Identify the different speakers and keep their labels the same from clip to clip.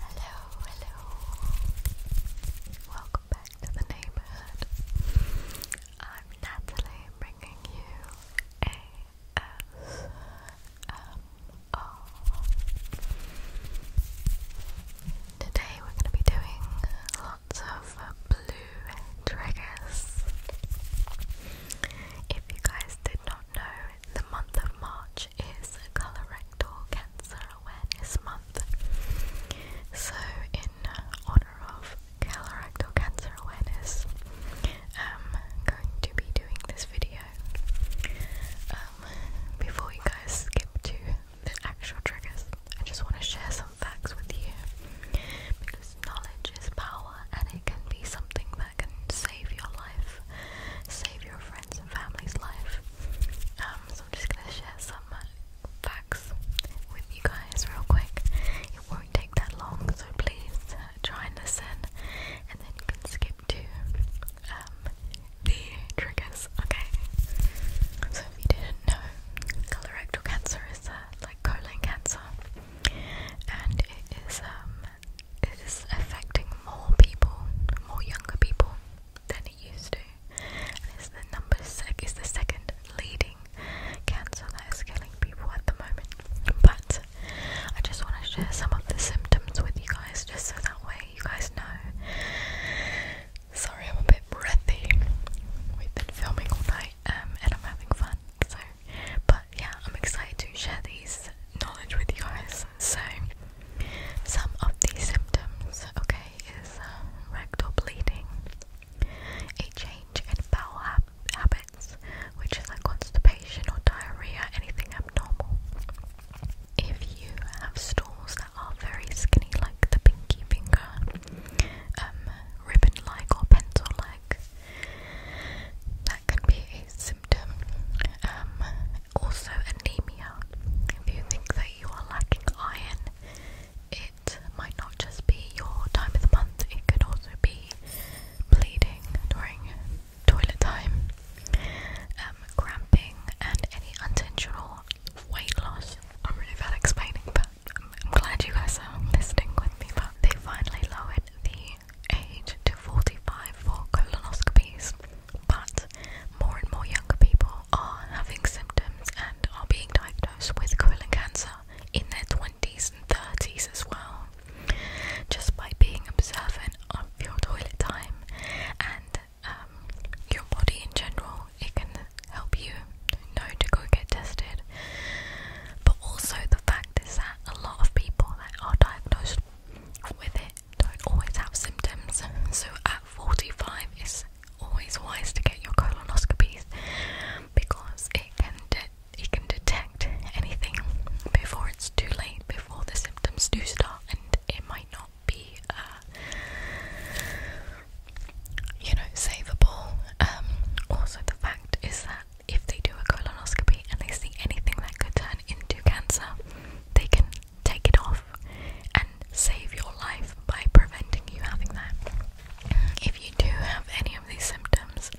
Speaker 1: hello, hello. Welcome back to the neighborhood. I'm Natalie, bringing you ASMR. Um, um, oh. Today we're going to be doing of blue triggers. If you guys did not know, the month of March is Colorectal Cancer Awareness Month. So, in honor of Colorectal Cancer Awareness, I'm um, going to be doing this video. Um, before you guys skip to the actual triggers, I just want to share some some facts with you because knowledge is power and it can be something that can save your life, save your friends and family's life. Um, so I'm just gonna share some facts with you guys real quick. It won't take that long, so please uh, try and and then you can skip to um, the triggers. Okay. So if you didn't know, colorectal cancer is uh, like colon cancer, and it is um, it is affecting more people, more younger people than it used to. And the number sec is the second leading cancer that is killing people at the moment. But I just want to share some of the symptoms with you guys, just so that way you guys know. Sorry, I'm a bit breathy. We've been filming all night. Um, and I'm having fun. So, but yeah, I'm excited to share these knowledge with you guys. So, some of the symptoms, okay, is uh, rectal bleeding, a change in bowel habits, which is like constipation or diarrhea, anything abnormal. If you have stools that are very skinny, like the pinky finger, um, ribbon-like or pencil-like, that can be a symptom. Um, also anemia. If you think that you are lacking iron, it might not just be your time of the month, it could also be bleeding during toilet time, um, cramping, and any unintentional weight loss. I'm really bad at explaining, but I'm glad you guys are listening with me, but they finally lowered the age to 45 for colonoscopies. But more and more younger people are having symptoms and are being diagnosed with colon cancer in their 20s and 30s as well, just by being observant of your toilet time and um, your body in general. It can help you know to go get tested. But also, the fact is that a lot of people that are diagnosed with it don't always have symptoms. So, at 45, it's always wise to get your colonoscopies because it can, it can detect anything before it's too late, before the symptoms do start, and it might not be. Uh, you know, savable. Um, also, the fact is that if they do a colonoscopy and they see anything that could turn into cancer, they can take it off and save your life by preventing you having that. If you do have any of these symptoms,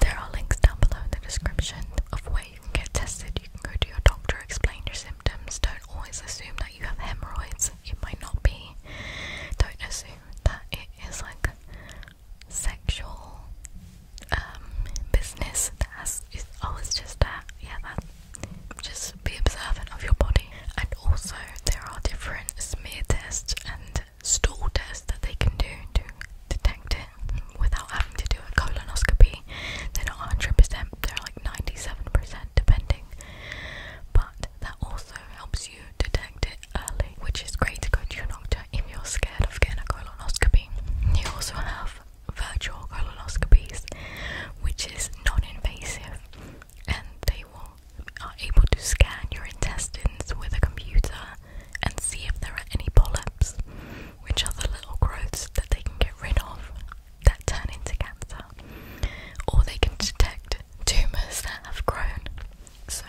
Speaker 1: there are links down below in the description of where you can get tested. You can go to your doctor, explain your symptoms. Don't always assume that you have hemorrhoids, it might not be. Don't assume that it is like sexual um, business that has always just that yeah that just be observant of your body and also there are different smear tests and stool tests that they can do to detect it without having to do a colonoscopy they're not 100% they're like 97% depending but also helps you detect it early, which is great to go to your doctor if you're scared of getting a colonoscopy. You also have virtual colonoscopies, which is non-invasive, and they will are able to scan your intestines with a computer and see if there are any polyps, which are the little growths that they can get rid of that turn into cancer, or they can detect tumours that have grown so,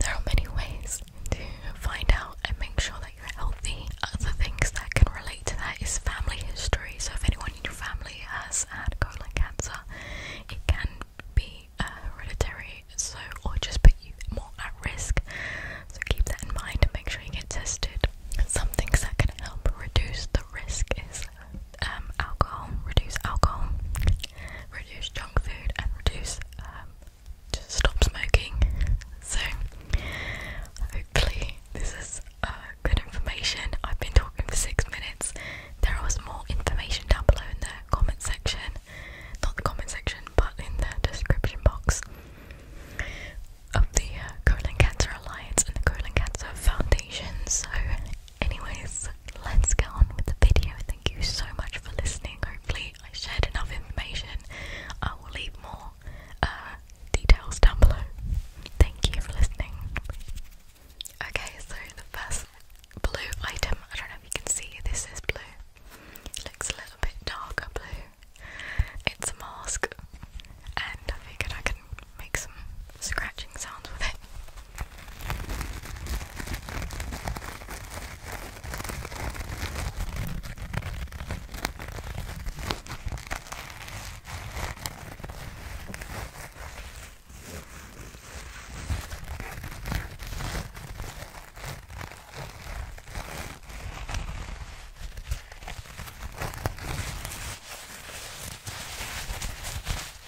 Speaker 1: there are many ways to find out and make sure that you're healthy. Other things that can relate to that is family history. So, if anyone in your family has had colon cancer, it can be uh, hereditary, so or just put you more at risk. So, keep that in mind and make sure you get tested. Some things that can help reduce the risk is um, alcohol, reduce alcohol, reduce junk food, and reduce um, just stop smoking. So hopefully this is uh, good information. I've been talking for six minutes. There more information down below in the comment section, not the comment section, but in the description box of the uh, Colon Cancer Alliance and the Colon Cancer Foundation. So Anyways, let's get on with the video. Thank you so much for listening. Hopefully, I shared enough information. I will leave more uh, details down below. Thank you for listening. Okay, so the first blue item, I don't know if you can see, this is blue. It looks a little bit darker blue. It's a mask, and I figured I can make some scratching sounds with it.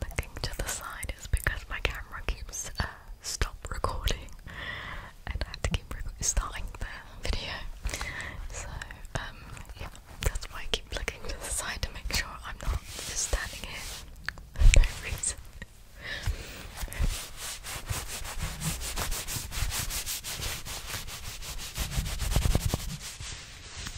Speaker 1: looking to the side is because my camera keeps uh, stop recording and I have to keep starting the video. So um, yeah, that's why I keep looking to the side to make sure I'm not just standing here for no reason.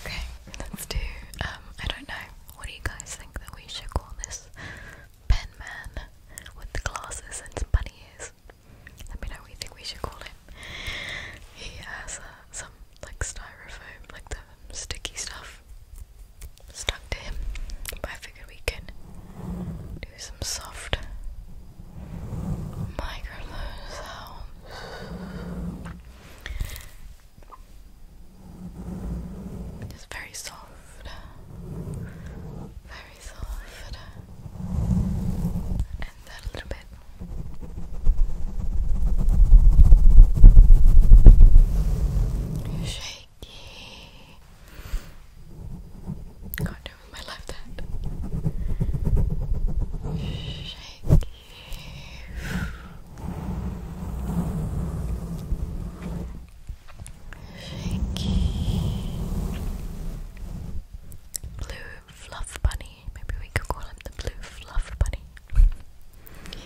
Speaker 1: Okay, let's do, um, I don't know, what do you guys think that we should call this pen man with the glasses and some bunny ears? Let me know what you think we should call him. He has uh, some, like, styrofoam, like the sticky stuff stuck to him. But I figured we can do some soft microphone sounds. Just very soft, very soft, and then little bit. Shake sticky. can Blue fluff bunny. Maybe we could call him the blue fluff bunny.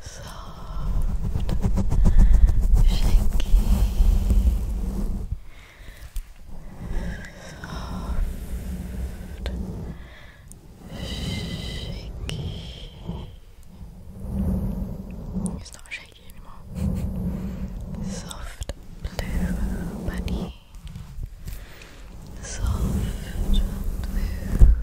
Speaker 2: soft, shaky, soft, shaky. It's not shaky anymore. Soft blue bunny. Soft blue bunny.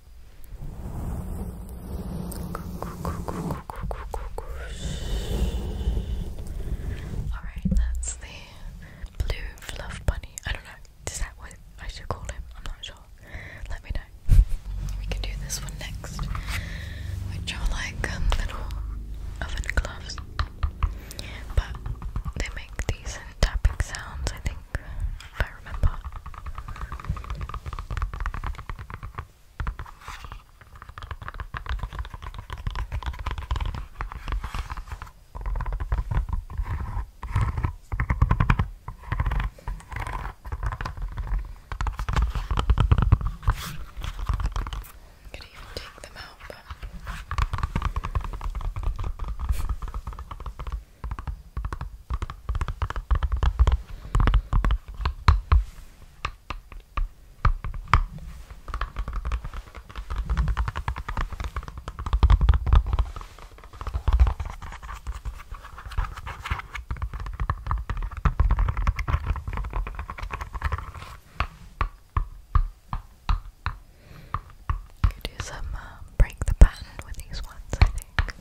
Speaker 1: Alright, that's the blue fluff bunny. I don't know, is that what I should call him? I'm not sure. Let me know. We can do this one next, which are like um, little oven gloves, but they make decent tapping sounds, I think if I remember. could even take them out, could do some um, break the pattern with these ones, I think.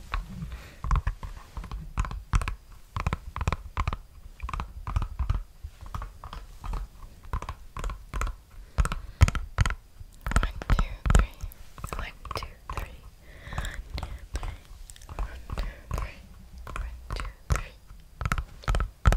Speaker 1: One, two, three. One, two, three. One, two, three. One, two, three. One, two, three.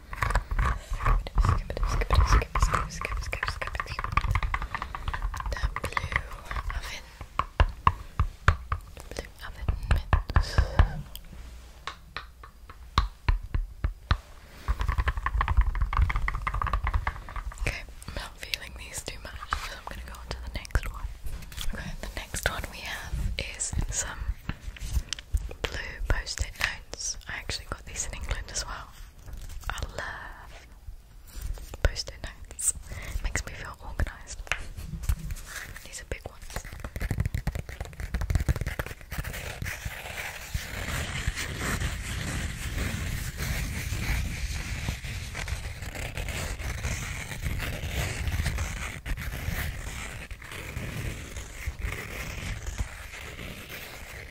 Speaker 1: skip it, skip it, Okay, I'm not feeling these too much, so I'm gonna go on the next one. Okay, the next one we have is some blue post-it notes. I actually got these in England as well. I love post-it notes. It makes me feel organised. These are big ones.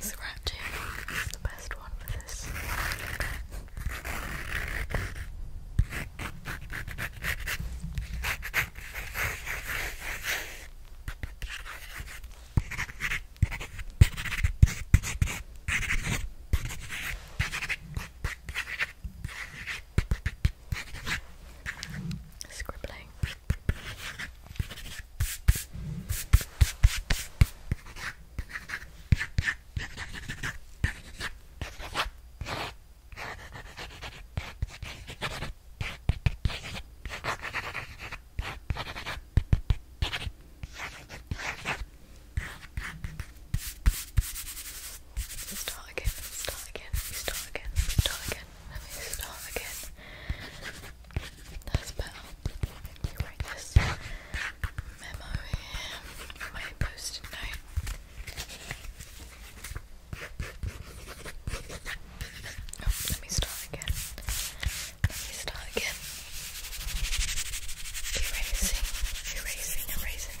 Speaker 1: Scratching is the best one for this scribbling. We start again, we start again, we start again, we start again, and we start again. That's better. You write this memo here on my post-it note. Oh, let me start again. Let me start again. Erasing, erasing, erasing,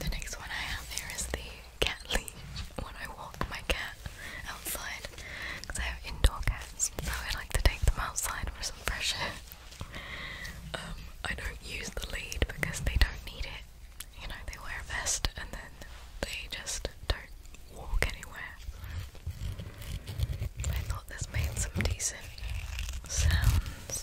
Speaker 1: The next one I have here is the cat leash when I walk my cat outside because I have indoor cats, so I like to take them outside for some fresh air. Um, I don't use the lead because they don't need it. You know, they wear a vest and then they just don't walk anywhere. I thought this made some decent sounds.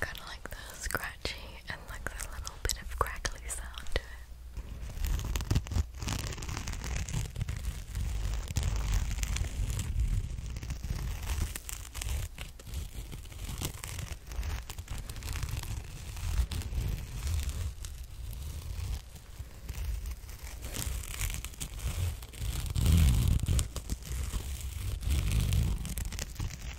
Speaker 1: Kind of like the and like a little bit of crackly sound to it.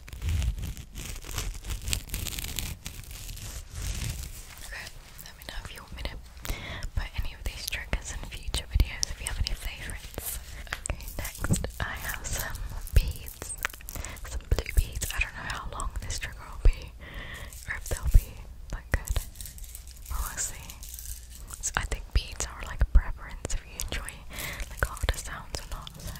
Speaker 1: Okay, let me know if you want me to put any of these triggers in future videos if you have any favourites. Okay, next I have some beads. Some blue beads. I don't know how long this trigger will be or if they'll be like good. we'll see. I think beads are like a preference if you enjoy the harder sounds or not,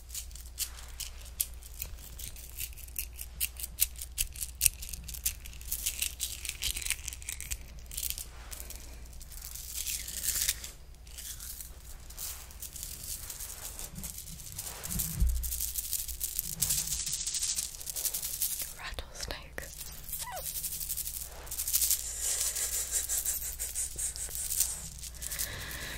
Speaker 1: Rattlesnake.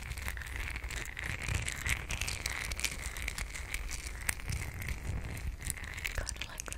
Speaker 1: Kind of like that.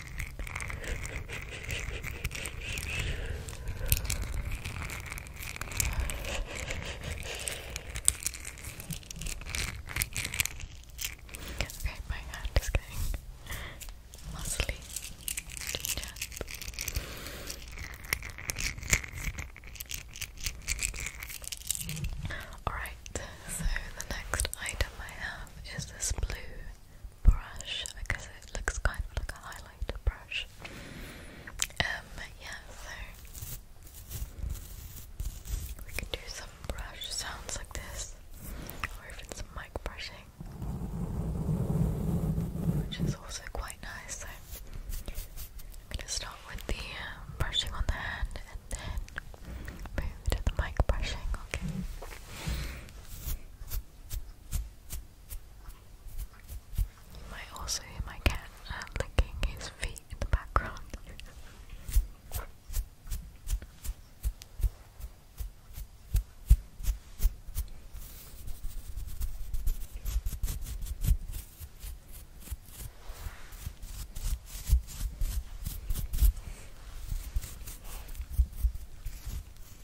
Speaker 1: Okay, my hand is getting muscly. Alright, so the next item I have is this blue brush. I guess it looks kind of like a highlighter brush. Um, yeah, so we can do some brush sounds like this, or even some mic brushing, which is also quite nice. So I'm gonna start with the um, brushing on the hand and then move to the mic brushing, okay? You might also hear my cat uh, licking his feet in the background. It's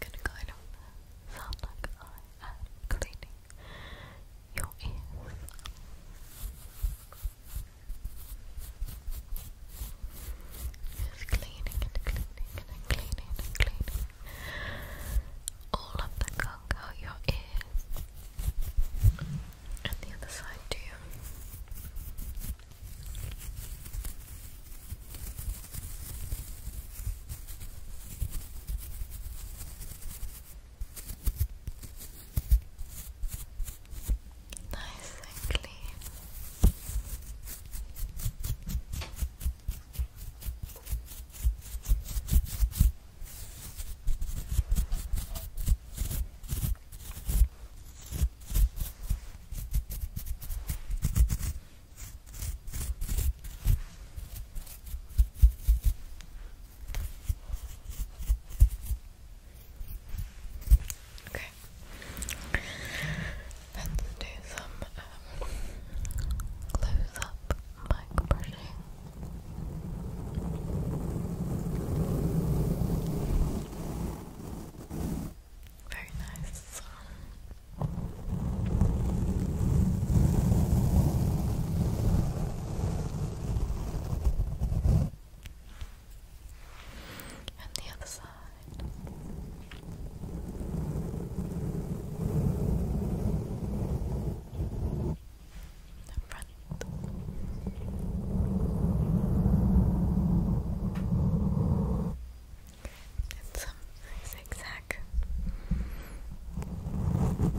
Speaker 1: gonna kind of sound like I am cleaning your ears. Just cleaning and cleaning and cleaning and cleaning all of the gunk your ears and the other side too. Nice and clean. Okay. Let's do some uh, close up mic brushing. Very nice. And the other side the front. And some zigzag. Okay.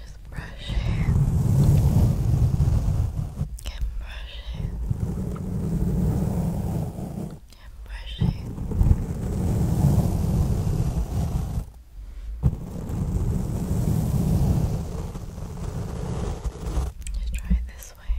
Speaker 1: Just brushing and brushing and brushing. Just try it this way.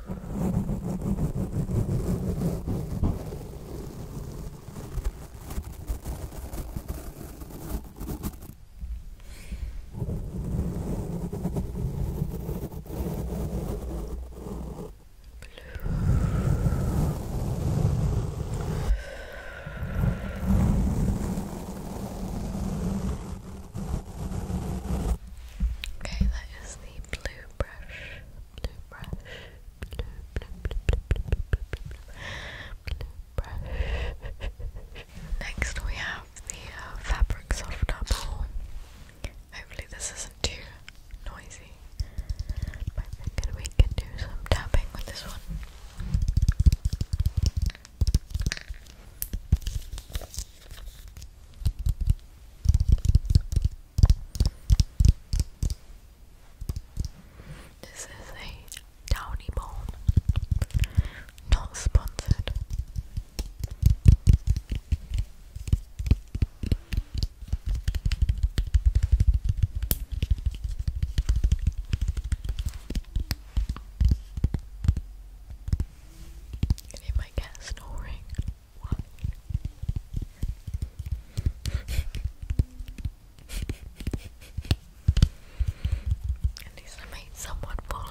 Speaker 1: Okay, that is the blue brush. Next, we have the uh, fabric softener Hopefully, this isn't too noisy. But we can do some tapping with this one. This is a downy bone, not sponsored. And you might get snoring one. At made someone fall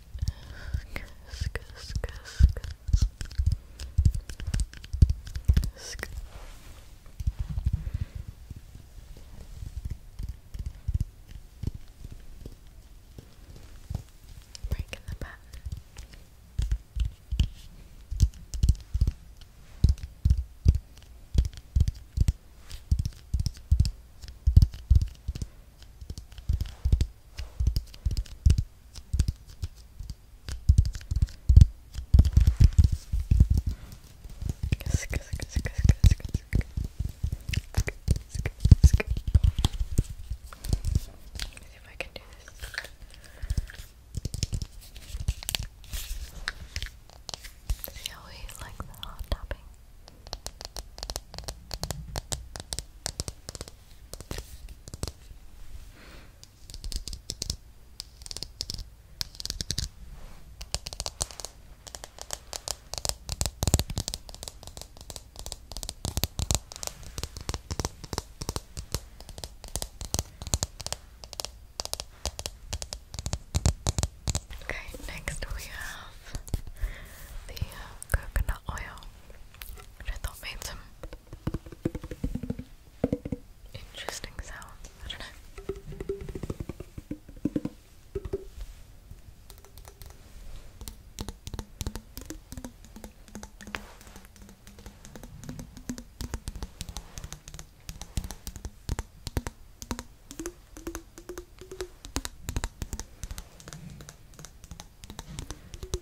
Speaker 1: Breaking the pattern. Good see if I can do this. See how we like the hot topping. Okay, next we have the uh, coconut oil. I thought made some interesting sounds. I don't know.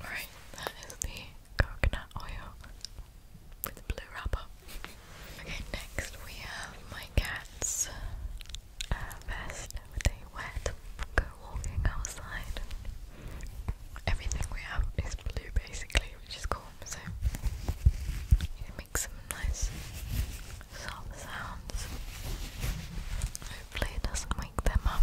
Speaker 1: Alright, that is the coconut oil with blue wrapper. okay, next we have my cat's uh, vest with wet go walking outside. Everything we have is blue basically, which is cool, so it makes some nice soft sounds. Hopefully it doesn't wake them up.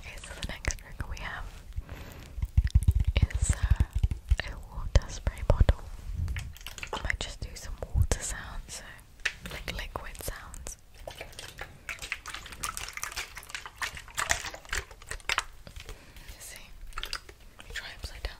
Speaker 2: Okay, so the next trick we have it's uh, a water spray bottle. I might just do some water sounds, so liquid sounds. see. try upside down.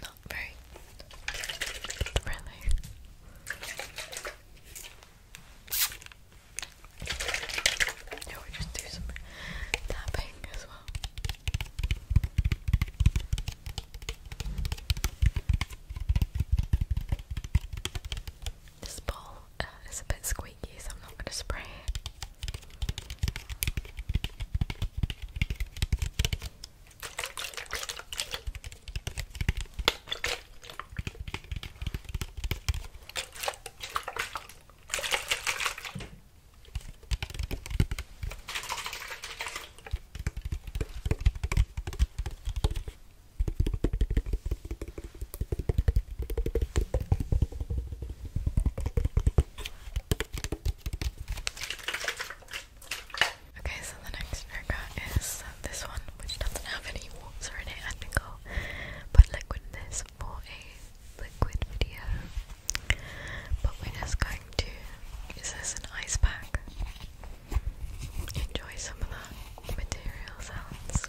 Speaker 1: Not very friendly. No, we just do some tapping as well. This bowl uh, is a bit squeaky, so I'm not going to spray it. Okay, so the next trigger is uh, this one, which doesn't have any warts in it. I think i liquid this for a liquid video. But we're just going to use this an ice pack. Enjoy some of the material sounds.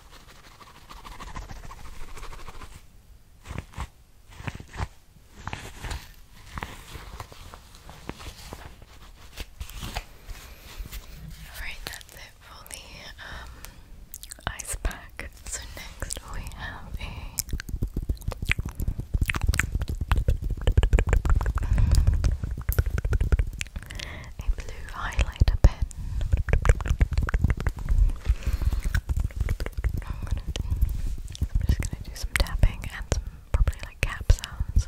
Speaker 1: Alright, that's it for the um, ice pack. So, next we have a a blue highlighter pen.
Speaker 2: just gonna do some tapping and some probably like cap sounds.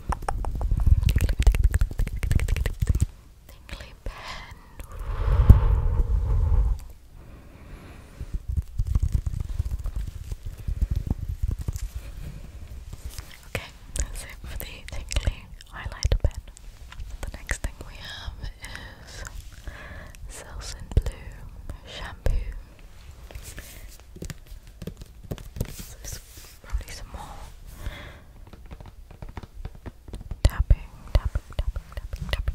Speaker 2: Tingly pen. Okay, that's it for the tingly highlighter pen. The next thing we have is Selsun Blue shampoo. Probably some more tapping, tapping, tapping, tapping, tapping.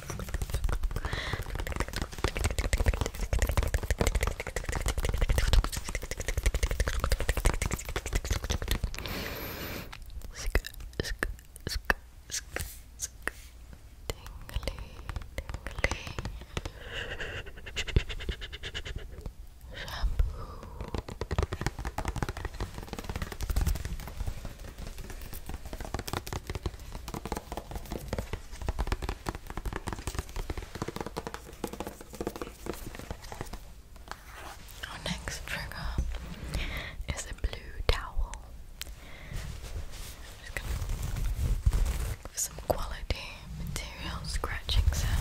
Speaker 2: Shampoo
Speaker 1: our next trigger is a blue towel. some quality material scratching sounds.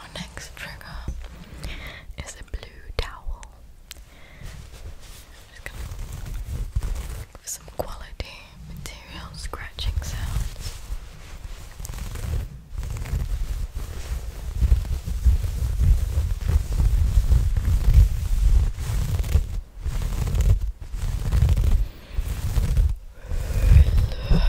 Speaker 1: Our next trigger is a blue towel with some quality material scratching sounds. Relax.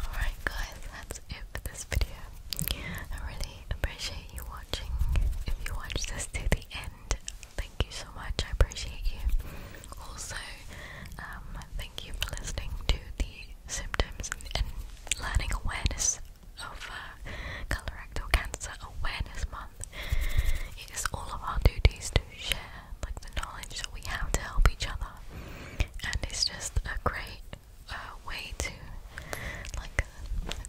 Speaker 1: Alright, guys, that's it for this video. I really appreciate you watching. If you watched this to the end, thank you so much. I appreciate you. Also, um, thank you for listening to the symptoms and, learning awareness of uh, colorectal cancer awareness month. It is all of our duties to share like the knowledge that we have to help each other, and it's just a great uh, way to like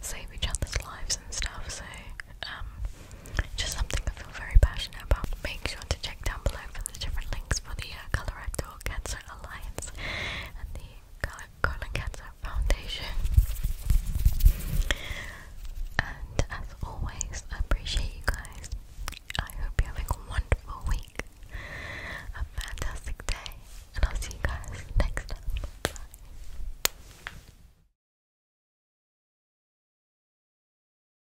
Speaker 1: save each other's lives and stuff. So um, just something I feel very passionate about. Make sure to check down below for the different links for the uh, colorectal cancer Alliance and the Colon Cancer Foundation. And as always, I appreciate you guys. I hope you're a wonderful week, a fantastic day, and I'll see you guys next time. Bye.